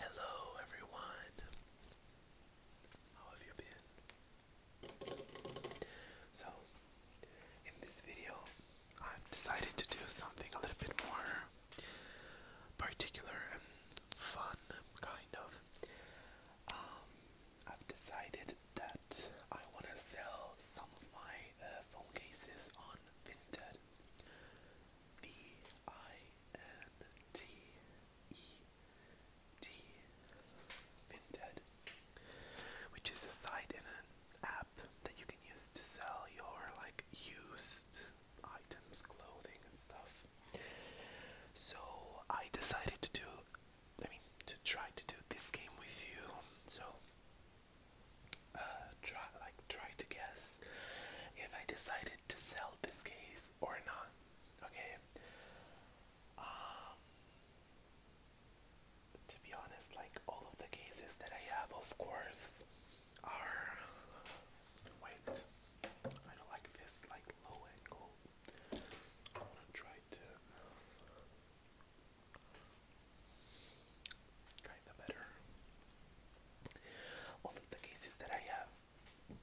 Hello, everyone. How have you been? So, in this video, I've decided to do something a little bit more particular and fun, kind of. Um, I've decided that I want to sell some of my uh, phone cases on Vinted. V I N T E D Vinted, which is a site and an app that you can use to sell your like used items, clothing and stuff. So I decided to do I mean to try to do this game with you. So uh, try like try to guess if I decided to sell this case or not. Okay. Um to be honest, like all of the cases that I have of course are wait. I don't like this like low angle. I wanna try to Kinda better of the cases that I have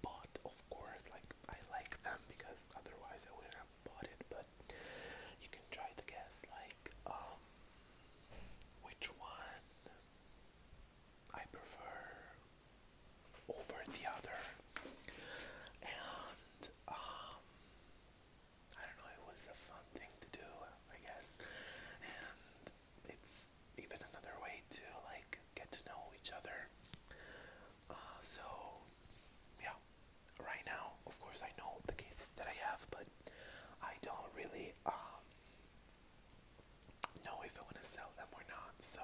bought, of course, like I like them because otherwise I wouldn't have bought it. But you can try to guess, like, um, which one I prefer over the other. And, um, I don't know, it was a fun thing to do, I guess. And it's even another way to like get to know each other. Uh, so yeah, right now, of course, I know the cases that I have, but I don't really um, know if I want to sell them or not. So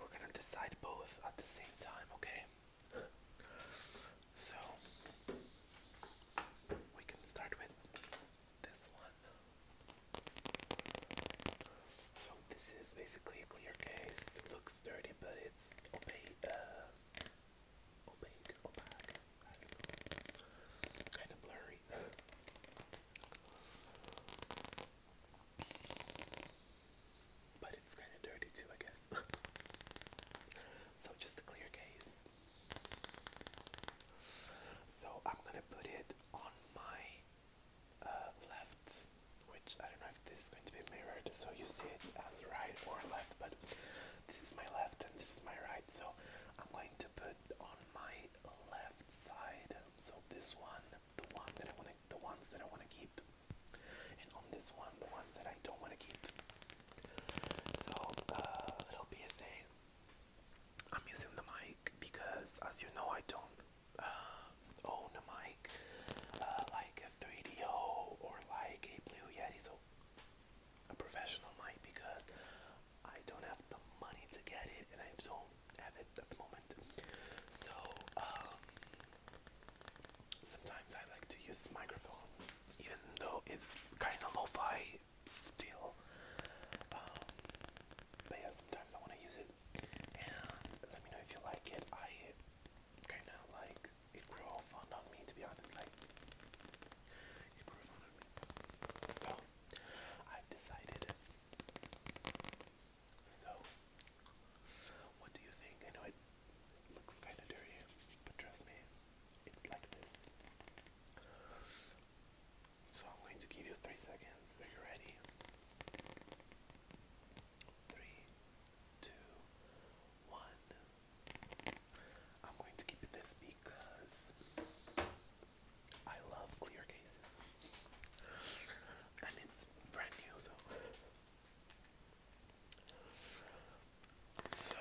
we're gonna decide both at the same time, okay? So we can start with this one. So this is basically a clear case. looks dirty, but it's opaque. Uh, opaque, Kind of blurry. but it's kind of dirty too, I guess. so just a clear case. So I'm gonna put it on my uh, left, which I don't know if this is going to be mirrored, so you see it as right or left, but this is my left and this is my right, so I'm going to put on my left side. So this one, the one that I want the ones that I want to keep, and on this one, the ones that I don't want to keep. So uh, it'll be a say I'm using the mic because, as you know, I don't uh, own a mic uh, like a 3DO or like a Blue Yeti, so a professional mic because I don't have the money to get it and I don't have it at the moment. So, um, sometimes I like to use the microphone even though it's kind of lo fi still. Um, but yeah, sometimes I want to use it. And let me know if you like it. I kind of like it grew fond on me, to be honest. Like it grew fond on me. So I've decided. So what do you think? I know it looks kind of dirty, but trust me, it's like this. So I'm going to give you three seconds. Are you ready? Three, two, one. I'm going to keep this because I love clear cases. And it's brand new, So,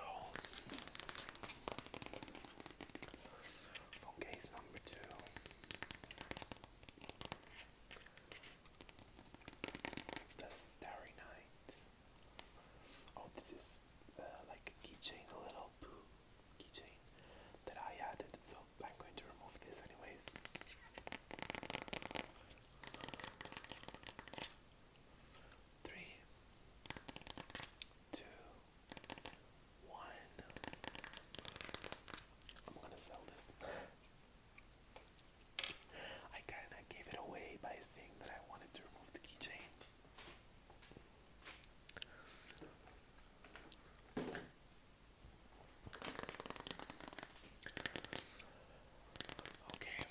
Phone case number two. The Starry Night. Oh, this is uh, like a keychain, a little keychain that I added, so I'm going to remove this anyways. Three, two, one. I'm gonna sell this. I kinda gave it away by saying that I wanted to remove the keychain. Okay,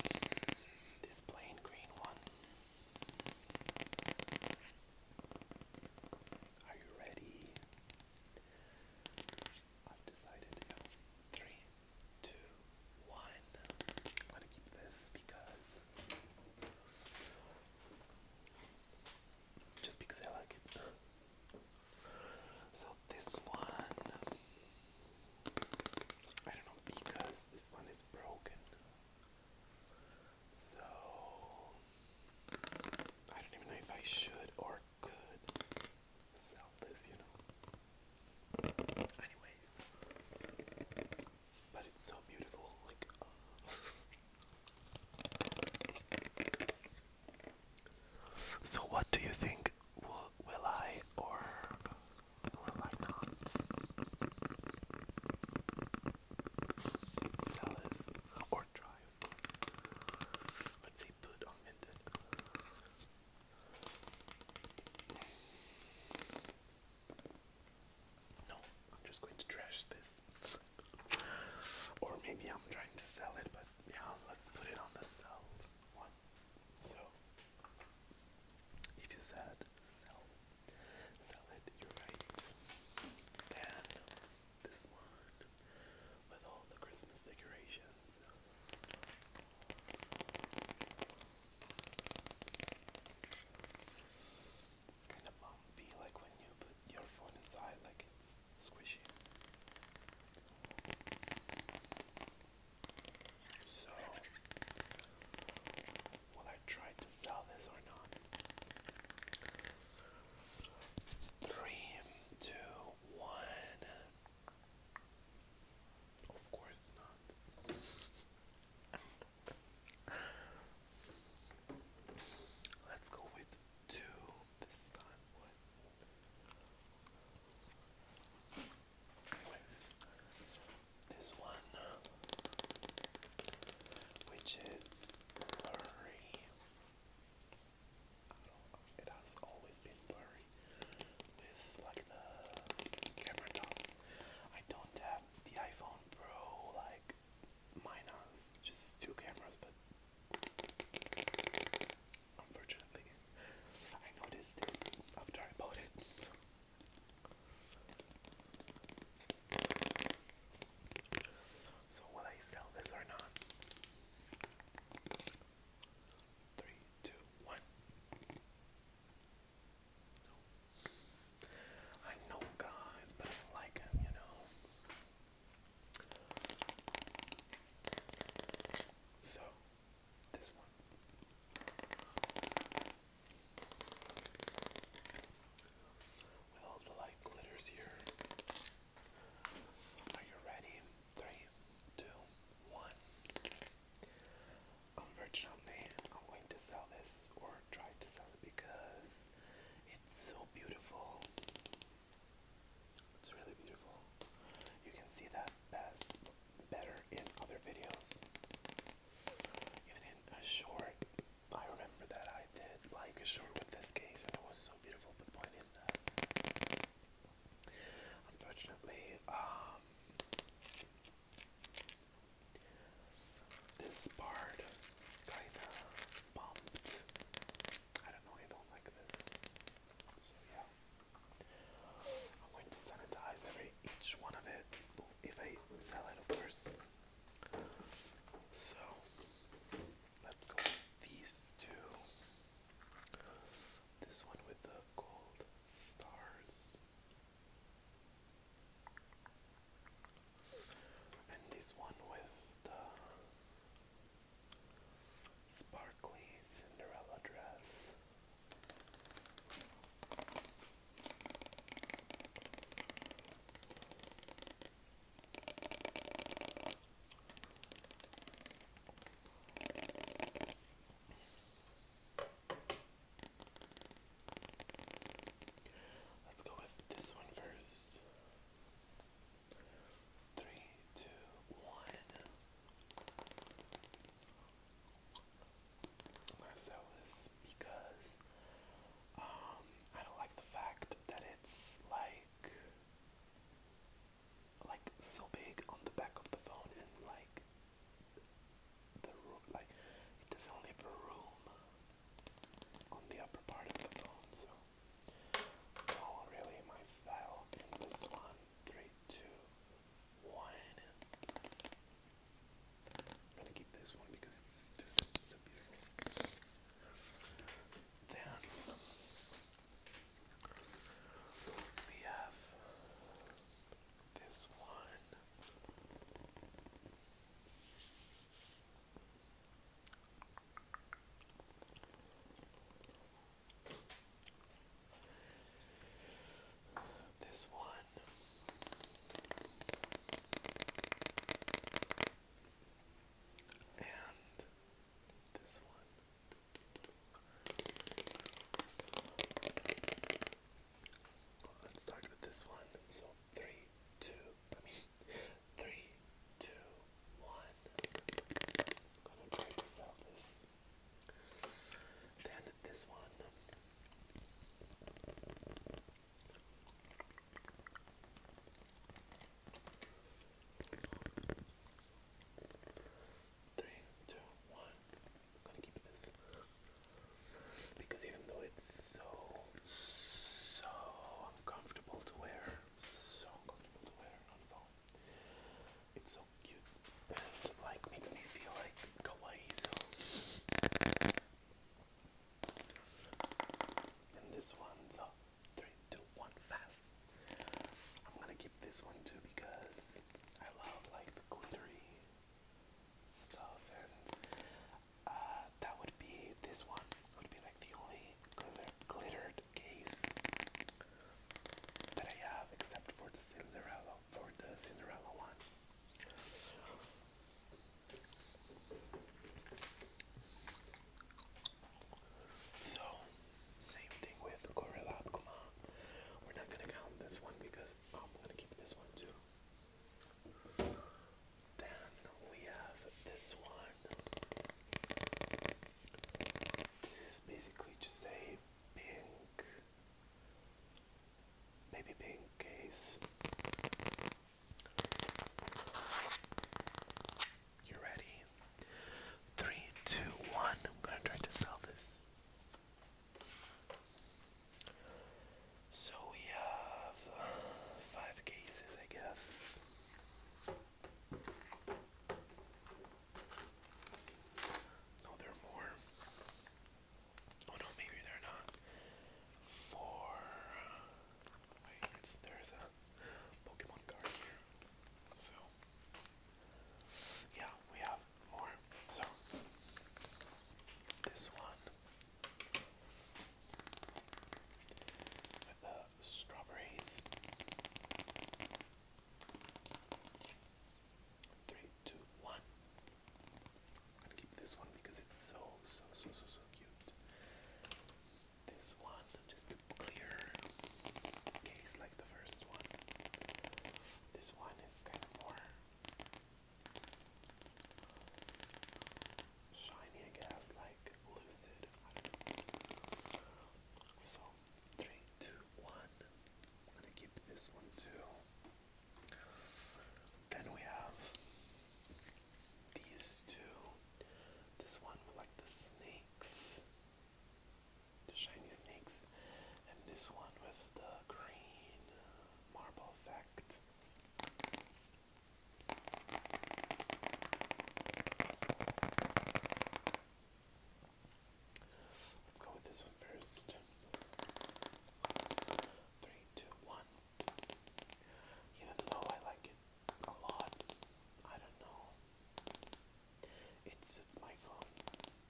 this plain green one. Are you ready? I've decided three, two, one. I'm gonna keep this because just because I like it. So this one, I don't know because this one is broken. So, I don't even know if I should or could sell this, you know. Anyways, but it's so beautiful, like. so, what do you think? Will, will I or will I not? salads or dry, Let's see, put on minted. No, I'm just going to trash this. Or maybe I'm trying to sell it, but yeah, let's put it on the sell So, if you said sell Salad, you're right. Then this one with all the Christmas decorations. It's kind of bumpy, like when you put your phone inside, like it's squishy. So Will I try to sell this or not? Three, two, one. Of course not. Let's go with two this time. Anyways, this one, which is blurry. I oh, don't, it has always been blurry with like the camera dots. I don't have the iPhone Pro like mine has just two cameras, but unfortunately, I noticed after I bought it. So will I sell this or not? Three, two, one. I know guys, but I like him, you know. So this one all the like glitters here. Are you ready? Three, two, one. Unfortunately, I'm going to sell this or try to sell it because it's so beautiful. It's really beautiful. You can see that best, better in other videos. Even in a short I remember that I did like a short with this case and it was so beautiful, but the point is that unfortunately, um, this part is kinda bumped. I don't know, I don't like this. So yeah. I'm going to sanitize every each one of it if I sell it of course. So let's go with these two. This one with the gold stars. And this one with the sparkly Cinderella dress. Let's go with this one first. Three, two, one. Unless because um, I don't like the fact that it's like like so big on the back of the phone and like the room like it doesn't leave a room on the upper part of the phone so not really my style in this one this one because it's just so beautiful. Then we have this one. This one. And this one. let's start with this one. So three, two, I'm gonna try this out. This. Then this one. Three, two, one. I'm gonna keep this because even though it's so, so uncomfortable to wear, so uncomfortable to wear on phone, it's so cute and like makes me feel like kawaii. And this one, so three, two, one, fast. I'm gonna keep this one too because I love like the glittery stuff, and uh, that would be this one would be like the only glitter glittered case that I have, except for the Cinderella, for the Cinderella one. So, same thing with Corella Kuma. We're not gonna count this one because oh, I'm gonna keep this one too. Then we have this one. This is basically just a pink, baby pink case. You ready? Three, two, one. I'm gonna try to sell this. So we have five cases, I guess. No, there are more. Oh no, maybe they're not. Four there's a Pokemon card here. So, yeah, we have more. So, this one with the strawberries. Three, two, one. I'm gonna keep this one because it's so, so, so, so cute. This one, just clear case like the first one. This one is kind of more shiny, I guess, like lucid. So, three, two, one. I'm gonna keep this one too. Then we have these two. This one with like the snakes, the shiny snakes, and this one with the green uh, marble effect. Let's go with this one first. Three, two, one. Even though I like it a lot, I don't know. It suits my phone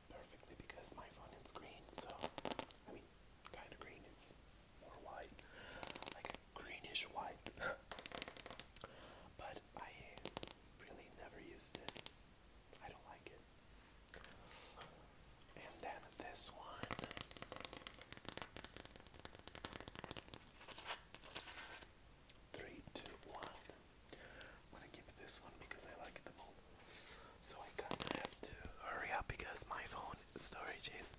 perfectly because my phone is green, so I mean, kind of green, it's more white, like a greenish white. but I really never used it, I don't like it. And then this one. Three, two, one. I'm gonna keep this one because I like the mold. So I kinda have to hurry up because my phone storage is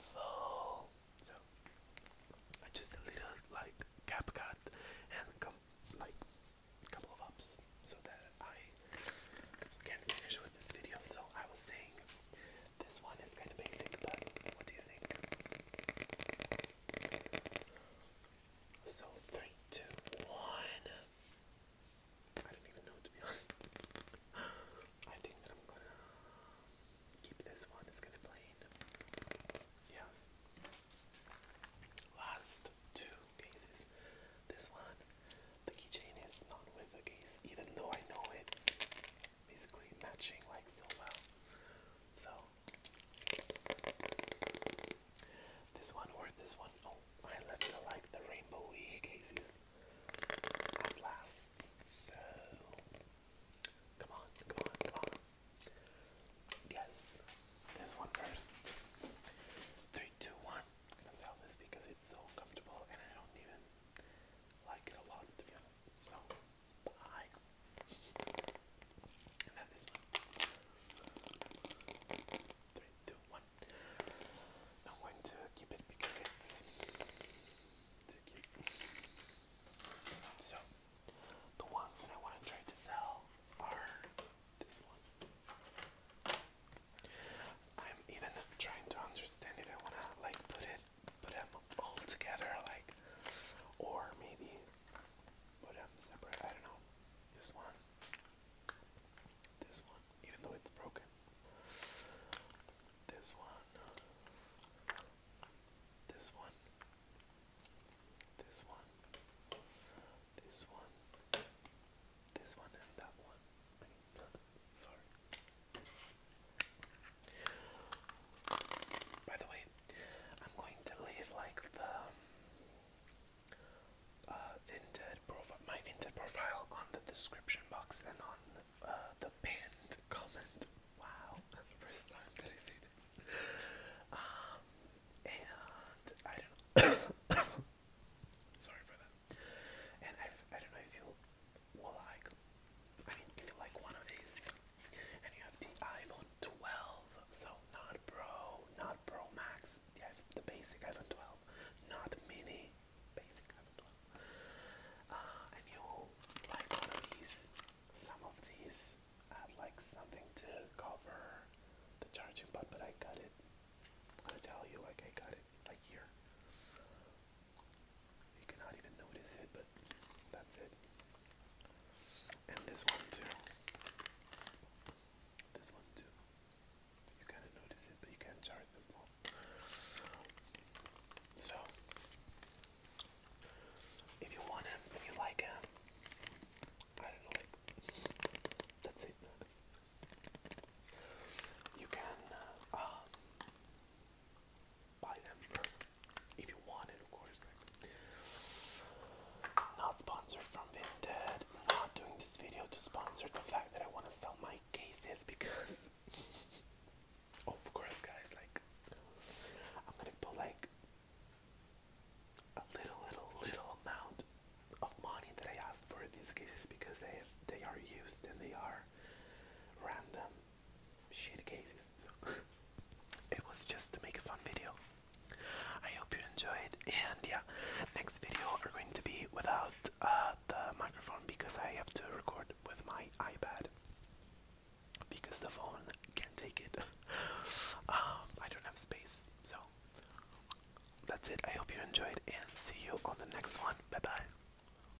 full. So I just a little like cap cut and come like couple of ups so that I can finish with this video. So I was saying this one is kind of basic, but what do you think? So, three, two, one. I don't even know to be honest. I think that I'm gonna keep this one, it's gonna plain. Yes. Last two cases. This one, the keychain is not with the case, even though I know it's basically matching like so well. So this one or this one. Oh, I left the like the rainbowy cases last. So come on, come on, come on. Guess this one first. one. I'm gonna sell this because it's so comfortable and I don't even like it a lot, to be honest. So, I. And then this one. two, one. I'm going to keep it because it's too cute. So, the ones that I want to try to sell are this one. I'm even trying to understand if I want to like put it put them all together, like, or maybe put them separate. I don't know. This one, this one, even though it's broken. This one, this one, this one, this one, this one, and that one. I need by the way, I'm going to leave like the uh, vinted profile, my vinted profile, on the description box and on uh, the pinned comment. Wow, first time that I see this. Um, and I don't. Sorry for that. And I, I don't know if you well, like, I mean, if you like one of these, and you have the iPhone 12, so not Pro, not Pro Max, the, the basic iPhone 12, not Mini, basic iPhone 12, uh, and you like one of these, some of these had like something to cover the charging butt, but I got it. I'm gonna tell you, like, I got it a year. You cannot even notice it, but that's it. And this one too. This one too. You kind of notice it, but you can't charge them for. So, if you want him, if you like him, I don't know, that's it. You can, uh, buy them if you want it, of course. not sponsored from Vinted. Not doing this video to sponsor the fact that I want to sell my cases because, of course, guys. Like, I'm gonna put like a little, little, little amount of money that I asked for these cases because they they are used and they are random shitty cases. So it was just to make a fun video. I hope you enjoyed, and yeah, next video are going to be without uh, the microphone because I have to record with my iPad because the phone can't take it. um, I don't have space, so that's it. I hope you enjoyed, and see you on the next one. Bye bye.